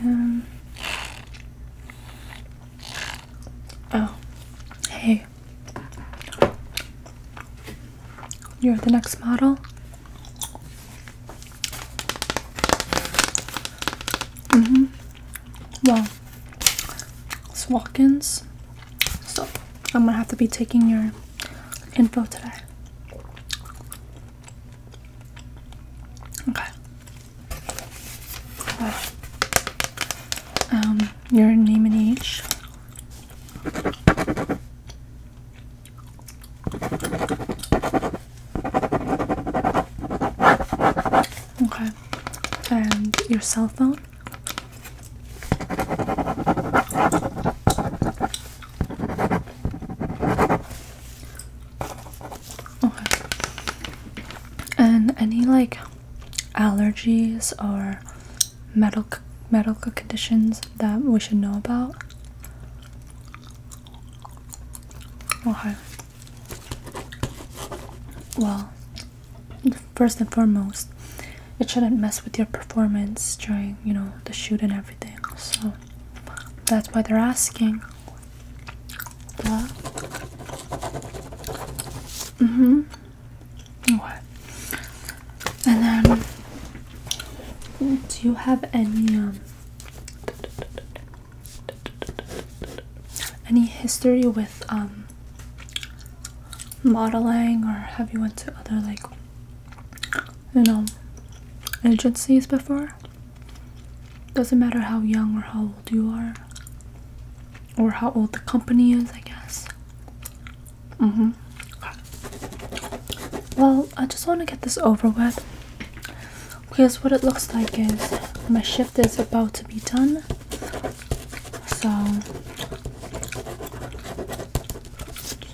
Um, oh, hey. You're the next model? Mm hmm. Well, it's walk ins. So I'm gonna have to be taking your info today. Okay. Um, your name and age. Okay. And your cell phone. And any like allergies or medical medical conditions that we should know about? Okay. Well, first and foremost, it shouldn't mess with your performance during, you know, the shoot and everything. So that's why they're asking what? mm What? And then do you have any um any history with um modeling or have you went to other like you know agencies before doesn't matter how young or how old you are, or how old the company is, I guess. Mm-hmm. Well, I just want to get this over with because what it looks like is my shift is about to be done. So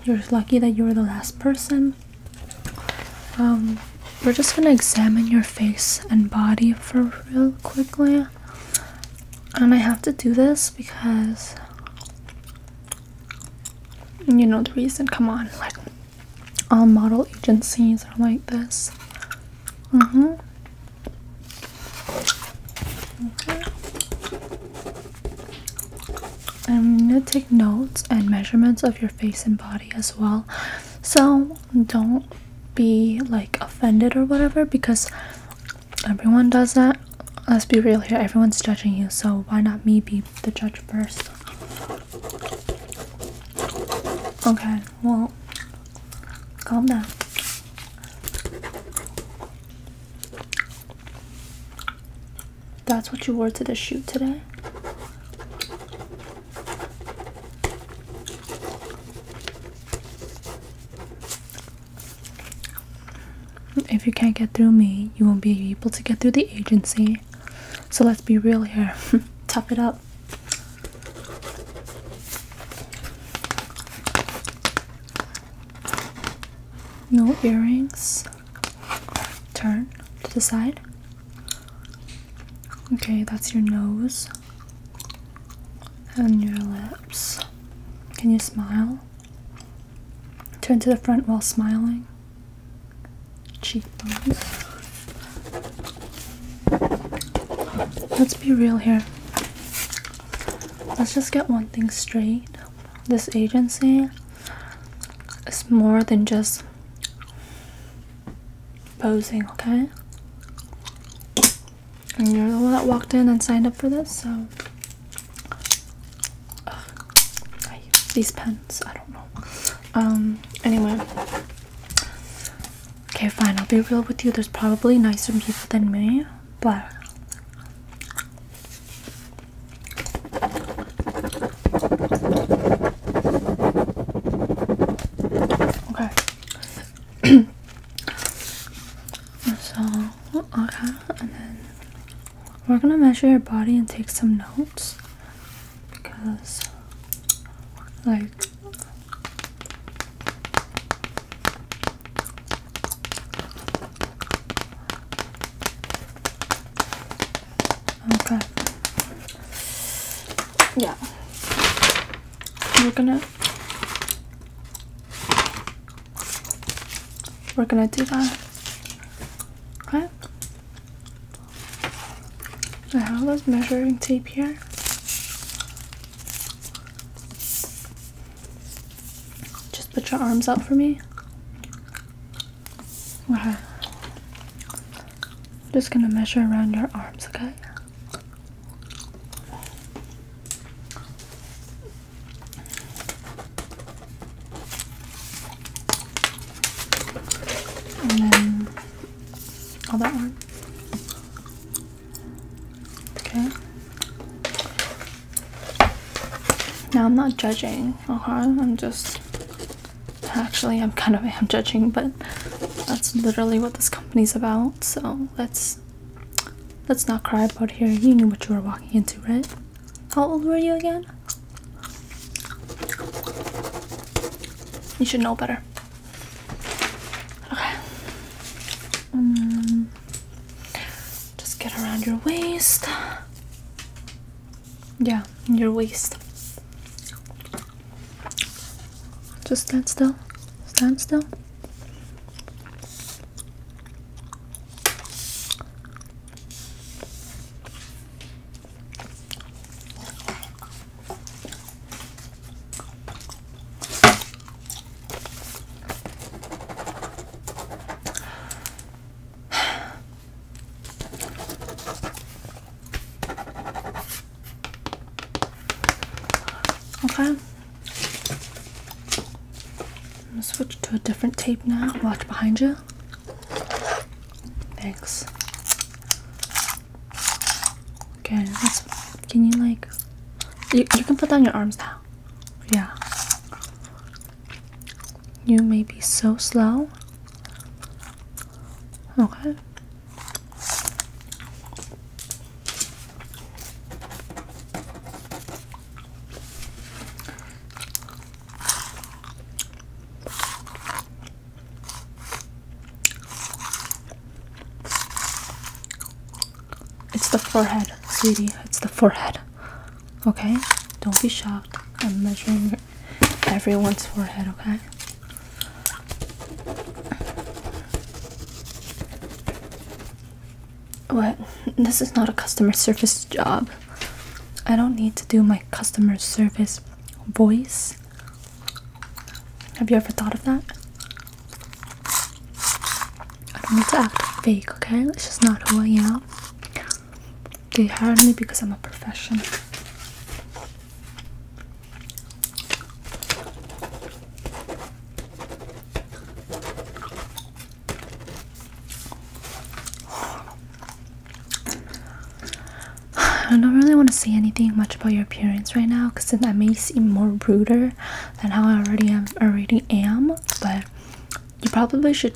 you're lucky that you're the last person um, we're just gonna examine your face and body for real quickly. And I have to do this because you know the reason. Come on, like all model agencies are like this. Mm-hmm. Okay. Mm-hmm. I'm gonna take notes and measurements of your face and body as well. So don't be like offended or whatever because everyone does that. Let's be real here, everyone's judging you, so why not me be the judge first? Okay, well, calm down. That's what you wore to the shoot today? If you can't get through me, you won't be able to get through the agency. So let's be real here. Top it up. No earrings. Turn to the side. Okay, that's your nose and your lips. Can you smile? Turn to the front while smiling. Cheekbones. Let's be real here. Let's just get one thing straight. This agency is more than just posing, okay? And you're the one that walked in and signed up for this, so. these pens, I don't know. Um, anyway. Okay, fine, I'll be real with you. There's probably nicer people than me, but Okay. so, okay, and then we're gonna measure your body and take some notes because, like, Okay. Yeah. We're gonna we're gonna do that. Okay. I have this measuring tape here. Just put your arms out for me. Wow. I'm just gonna measure around your arms, okay? And then all that one. Okay. Now I'm not judging okay uh-huh, i'm just actually i'm kind of am judging but that's literally what this company's about so let's let's not cry about here you knew what you were walking into right how old were you again you should know better okay um, just get around your waist yeah, in your waist. Just stand still. Stand still. Okay. I'm gonna switch to a different tape now. Watch behind you. Thanks. Okay, can you like you, you can put down your arms now. Yeah. You may be so slow. Okay. It's the forehead, sweetie. It's the forehead. Okay? Don't be shocked. I'm measuring everyone's forehead, okay? What? This is not a customer service job. I don't need to do my customer service voice. Have you ever thought of that? I don't need to act fake, okay? It's just not who I am they hired me because I'm a professional. I don't really want to say anything much about your appearance right now because I may seem more ruder than how I already am, but you probably should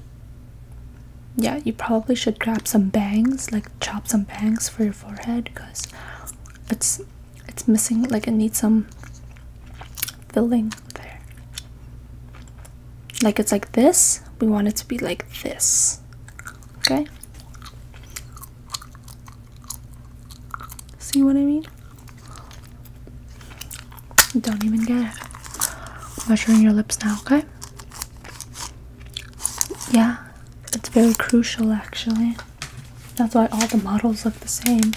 yeah you probably should grab some bangs like chop some bangs for your forehead because it's it's missing like it needs some filling there like it's like this we want it to be like this okay see what i mean don't even get it. Measuring your lips now, okay? Yeah, it's very crucial actually. That's why all the models look the same.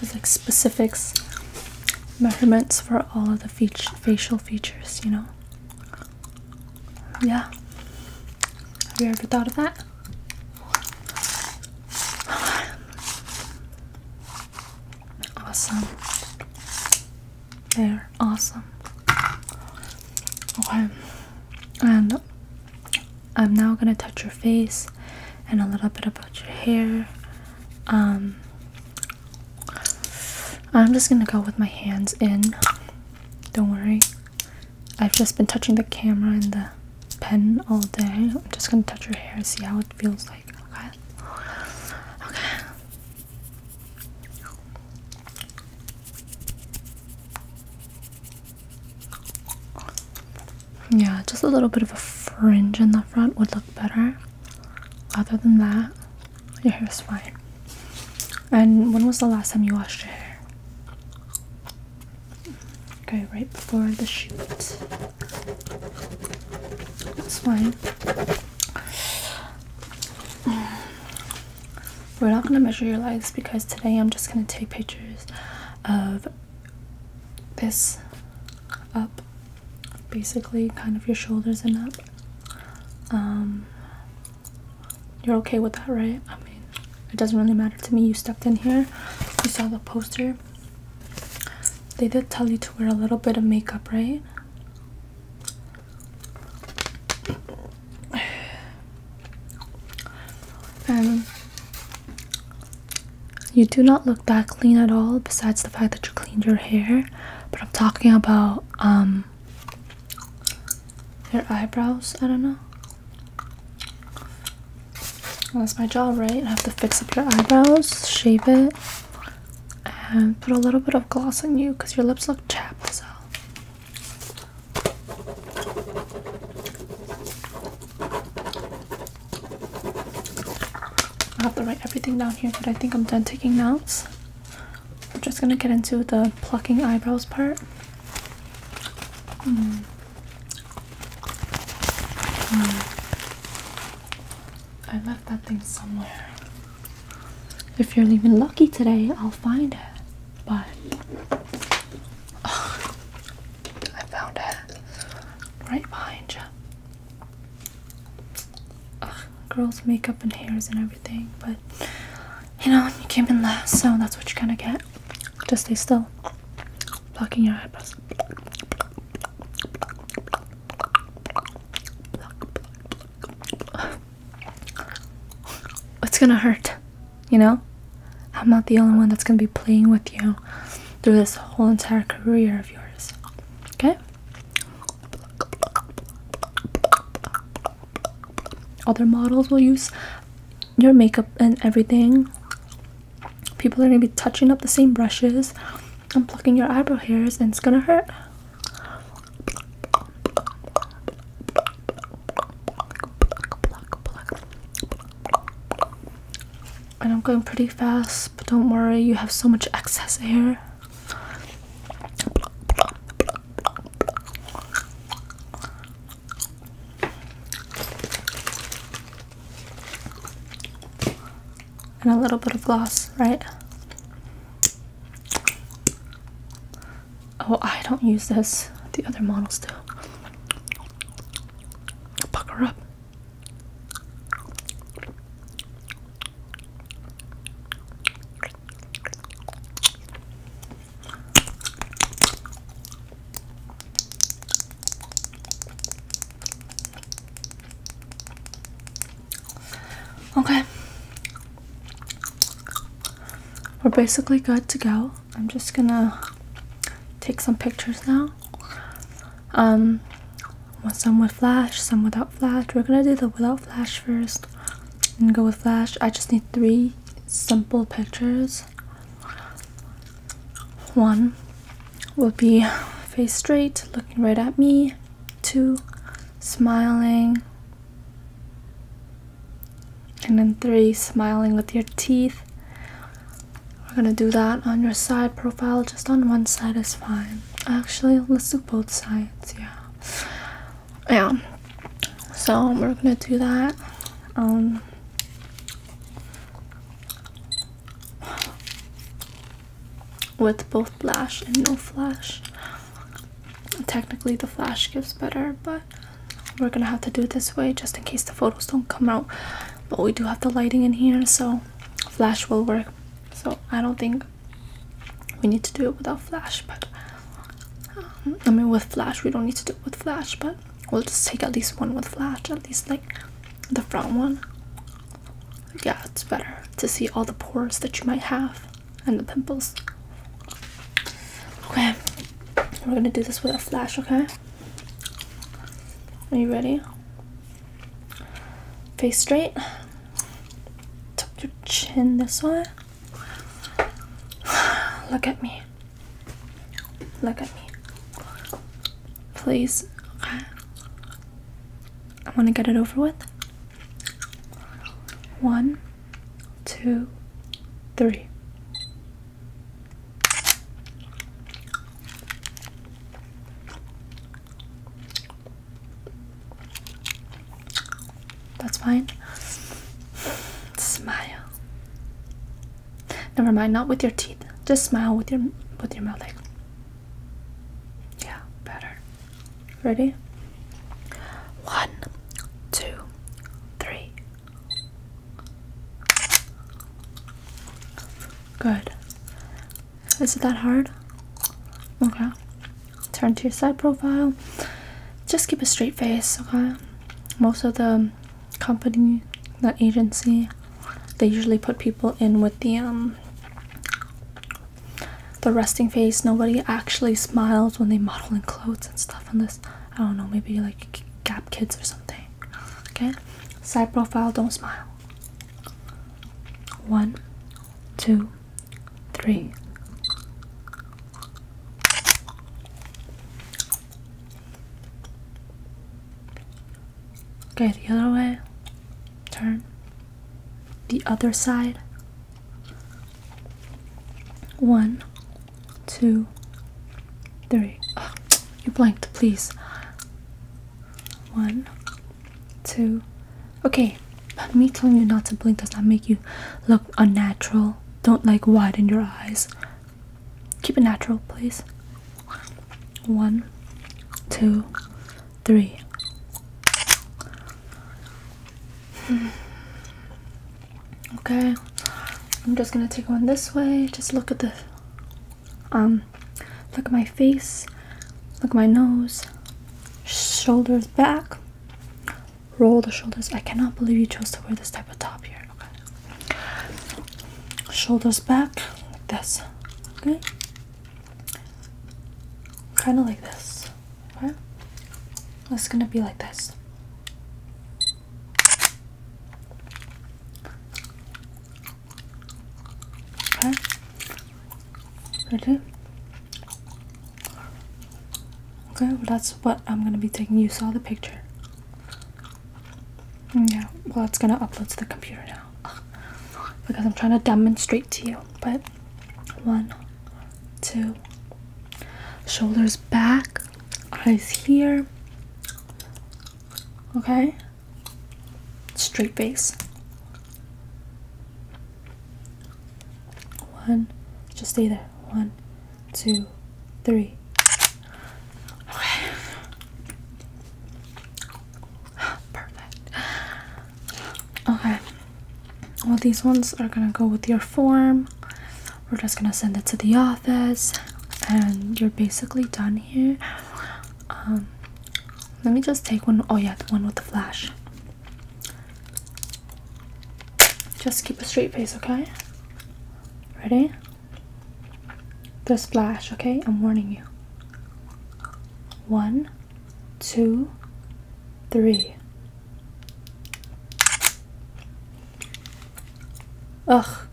There's like specifics, measurements for all of the facial features, you know? Yeah. Have you ever thought of that? Awesome. They're awesome. Okay. And I'm now gonna touch your face and a little bit about your hair. Um I'm just gonna go with my hands in. Don't worry. I've just been touching the camera and the pen all day. I'm just gonna touch your hair, see how it feels like. Okay. Okay. Yeah, just a little bit of a fringe in the front would look better. Other than that, your hair is fine. And when was the last time you washed your hair? Okay, right before the shoot. That's fine. We're not gonna measure your legs because today I'm just gonna take pictures of this up, basically, kind of your shoulders and up. Um, you're okay with that, right? I mean, it doesn't really matter to me. You stepped in here, you saw the poster. They did tell you to wear a little bit of makeup, right? And you do not look that clean at all, besides the fact that you cleaned your hair. But I'm talking about um your eyebrows. I don't know. that's my job, right? I have to fix up your eyebrows, shape it, and put a little bit of gloss on you because your lips look chapped. So. I have to write everything down here, but I think I'm done taking notes. We're just gonna get into the plucking eyebrows part. Hmm. Hmm. I left that thing somewhere. If you're even lucky today, I'll find it. But I found it right behind you girls' makeup and hairs and everything, but you know, you came in last, so that's what you're gonna get. Just stay still, blocking your eyebrows. It's gonna hurt, you know? I'm not the only one that's gonna be playing with you through this whole entire career of yours. Okay? other models will use your makeup and everything. People are gonna be touching up the same brushes and plucking your eyebrow hairs, and it's gonna hurt. And I'm going pretty fast, but don't worry, you have so much excess hair. And a little bit of gloss, right? Oh, I don't use this. The other models do. Pucker up. Okay. We're basically good to go. I'm just gonna take some pictures now. Um, some with flash, some without flash. We're gonna do the without flash first and go with flash. I just need three simple pictures. One will be face straight, looking right at me. Two, smiling. And then three, smiling with your teeth. We're gonna do that on your side profile, just on one side is fine. Actually, let's do both sides, yeah yeah so we're gonna do that um, with both flash and no flash technically the flash gives better but we're gonna have to do it this way just in case the photos don't come out but we do have the lighting in here so flash will work so i don't think we need to do it without flash, but um, I mean with flash we don't need to do it with flash, but we'll just take at least one with flash, at least like the front one. Yeah, it's better to see all the pores that you might have and the pimples. Okay, we're gonna do this with a flash, okay? Are you ready? Face straight. Tuck your chin this way. Look at me. Look at me. Please. I, want to get it over with. One, two, three. That's fine. Smile. Never mind, not with your teeth. Just smile with your with your mouth like Yeah, better. Ready? One, two, three. Good. Is it that hard? Okay turn to your side profile just keep a straight face okay most of the company the agency they usually put people in with the um, the resting face nobody actually smiles when they model in clothes and stuff On this, i don't know maybe like gap kids or something okay side profile don't smile one two three. Okay, the other way. Turn. The other side. One, two, three. Oh, you blanked, please. One, two. Okay, but me telling you not to blink does not make you look unnatural. Don't like widen your eyes. Keep it natural, please. One, two, three. Okay, I'm just gonna take one this way. Just look at the um, look at my face. Look at my nose. Shoulders back. Roll the shoulders. I cannot believe you chose to wear this type of top here. Okay. Shoulders back like this. Okay. Kind of like this. Okay. It's gonna be like this. Okay. Okay. Okay, well that's what I'm gonna be taking. You saw the picture. Yeah, well it's gonna upload to the computer now. Because I'm trying to demonstrate to you. But one, two, shoulders back, eyes here. Okay? Straight face. One, just stay there. One, two, three. Okay. Perfect. Okay. Well, these ones are gonna go with your form. We're just gonna send it to the office, and you're basically done here. Um, let me just take one. Oh yeah, the one with the flash. Just keep a straight face, okay? Ready? The flash, okay? I'm warning you. One, two, three. Ugh.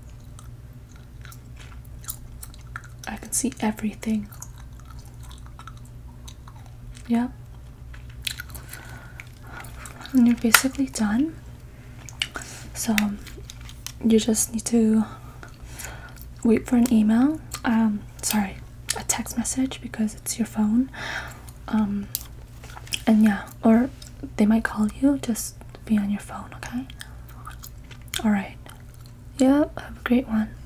I can see everything. Yep. And you're basically done. So you just need to wait for an email. Um, sorry, a text message because it's your phone. Um, and yeah, or they might call you. Just be on your phone, okay? All right. Yep. Have a great one.